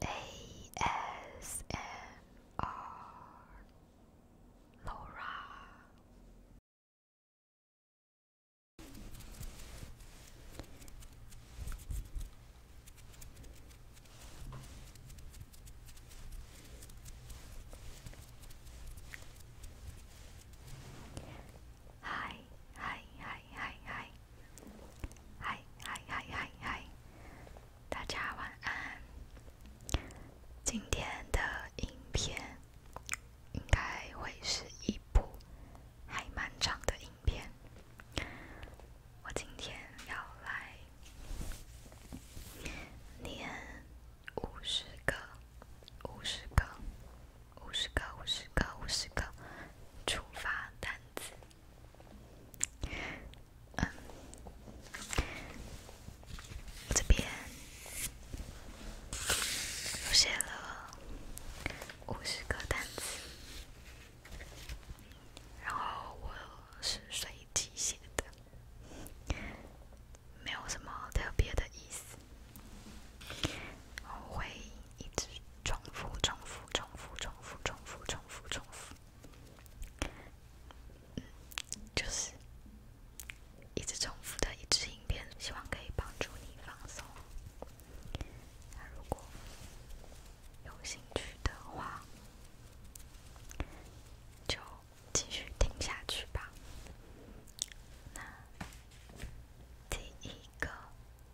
ASMR Laura Hi, hi, hi, 嗨嗨，嗨嗨嗨嗨嗨，大家晚安。今天的影片应该会是一部还漫长的影片。我今天要来念五十个，五十个。五十个，五十个，五十个，触发单子。嗯，这边我写了五十个单词，然后我是随机写的，没有什么特别的意思。我会。一直重复，重复，重复，重复，重复，重复，重复。嗯，就是一直重复的一支影片，希望可以帮助你放松。那如果有兴趣的话，就继续听下去吧。那第一个。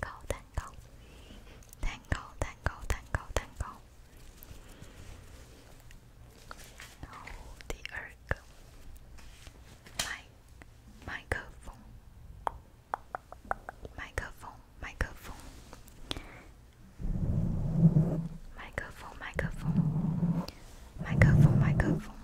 蛋糕，蛋糕，蛋糕，蛋糕，蛋糕，蛋糕。然后第二个，麦，克风麦克风，麦克风，麦克风，麦克风，麦克风，麦克风。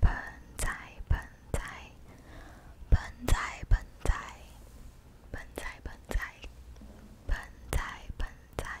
盆栽，盆栽，盆栽，盆栽，盆栽，盆栽，盆栽，盆栽，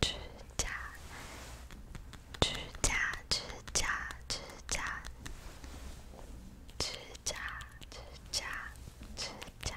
指甲，指甲，指甲，指甲，指甲，指甲，指甲。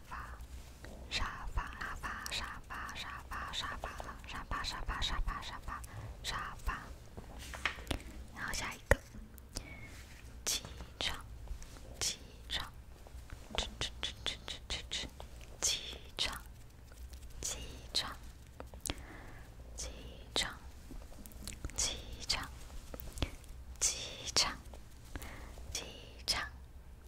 沙发，沙发，沙发，沙发，沙发，沙发，沙发，沙发，沙发，沙发，沙发。好，下一个。机场，机场，吃吃吃吃吃吃吃，机场，机场，机场，机场，机场，机场。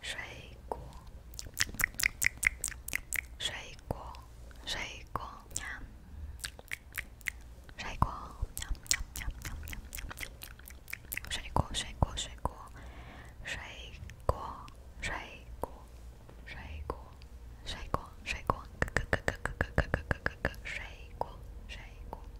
水果，水果，水果，水果，水果，水果，水果，水果，水果，水果，水果，水果，水果，哥哥，哥哥，哥哥，哥哥，哥哥，水果，水果。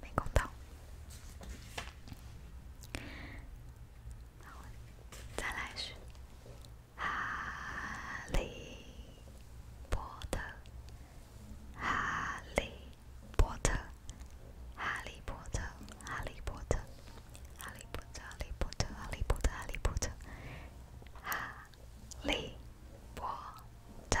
没搞懂，再来是《哈利波特》。哈利波特，哈利波特，哈利波特，哈利波特，哈利波特，哈利波特，哈利波特，哈利波特。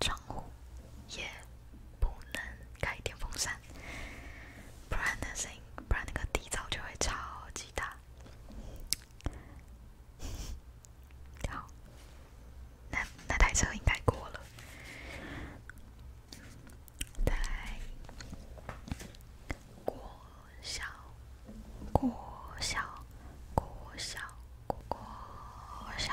窗户也不能开电风扇，不然那声音，不然那个底噪就会超级大。好，那那台车应该过了。再来，过小，过小，过小，过小。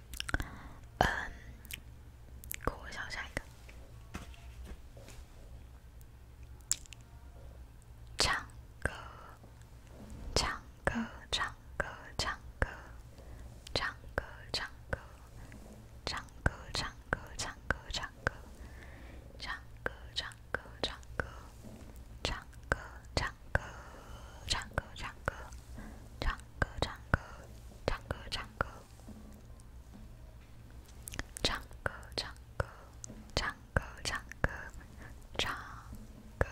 嗯，给我想下一个。唱歌，唱歌，唱歌，唱歌，唱歌，唱歌，唱歌，唱歌，唱歌，唱歌，唱歌，唱歌，唱歌，唱歌，唱。歌，唱歌，唱歌，唱歌，唱歌，唱歌，唱歌，唱歌，唱，歌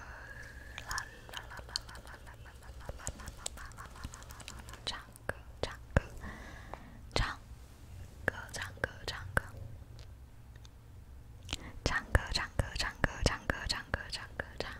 啦啦啦啦啦啦啦啦啦啦啦啦啦啦啦啦啦啦！唱歌，唱歌，唱，歌，唱歌，唱歌，唱歌，唱歌，唱歌，唱歌，唱歌，唱。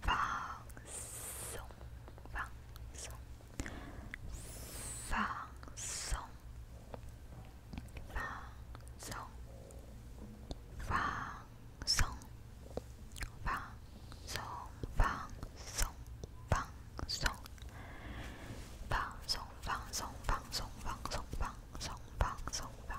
放松，放松，放松，放松，放松，放松，放松，放松，放松，放松，放松，放松，放松，放松，放松。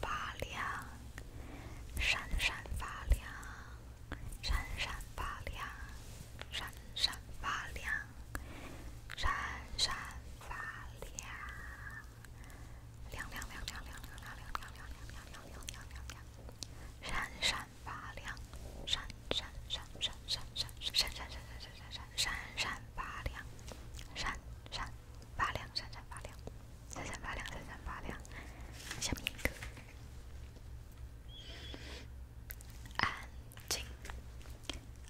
发亮，闪闪发亮，闪闪发亮，闪闪发亮，闪闪发亮，亮亮亮亮亮亮亮亮亮亮亮亮亮亮亮闪亮，闪闪闪，闪闪闪闪闪闪闪闪闪闪闪闪闪闪闪闪闪闪，闪闪。发亮，闪闪发亮，闪闪发亮，闪闪发亮。下面一个，安静，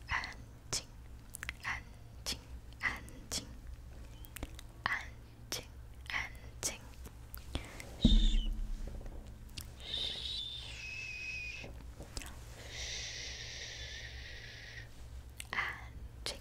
安静，安静，安静，安静，安静，嘘，嘘，嘘，安静。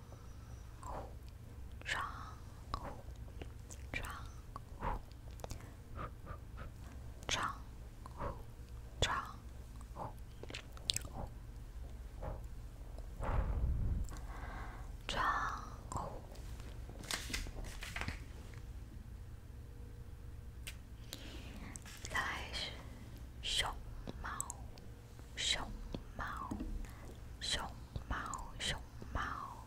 窗窗窗窗窗窗窗再来是熊猫，熊猫，熊猫，熊猫。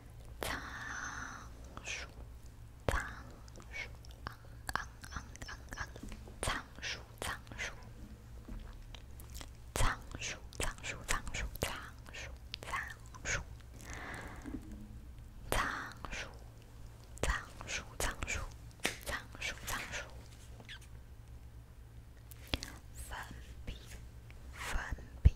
仓鼠，仓鼠，昂昂昂昂仓鼠，仓鼠，仓鼠，仓鼠，仓鼠，仓鼠，仓鼠，仓鼠，仓鼠，仓鼠，仓鼠，粉笔，粉笔。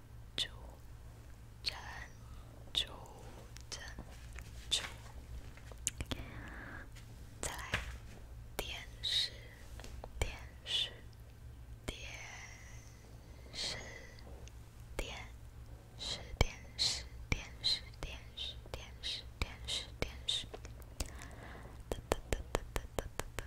珠，珍珠，珍珠，再来，电视，电视，电视，电视，电视，电视，电视，电视，电视，电视，哒哒哒哒哒哒哒。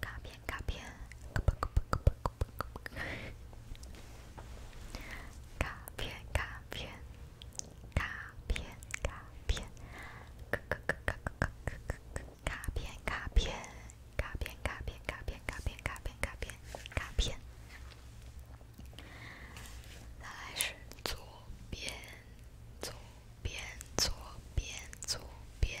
卡片卡片卡片卡片卡片卡片卡片卡片卡片卡片卡片卡片卡片卡片，再来是左边左边左边左边。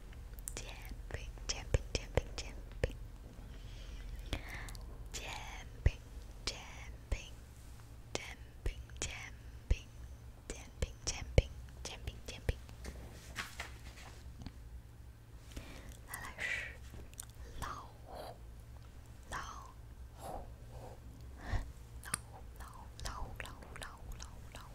煎饼，煎饼，煎饼，煎饼，煎饼，煎饼，煎饼，煎饼，煎饼，煎饼，煎饼，煎饼，煎饼。来来是老虎，老虎，老虎，老虎，老虎，老虎，老虎，老虎。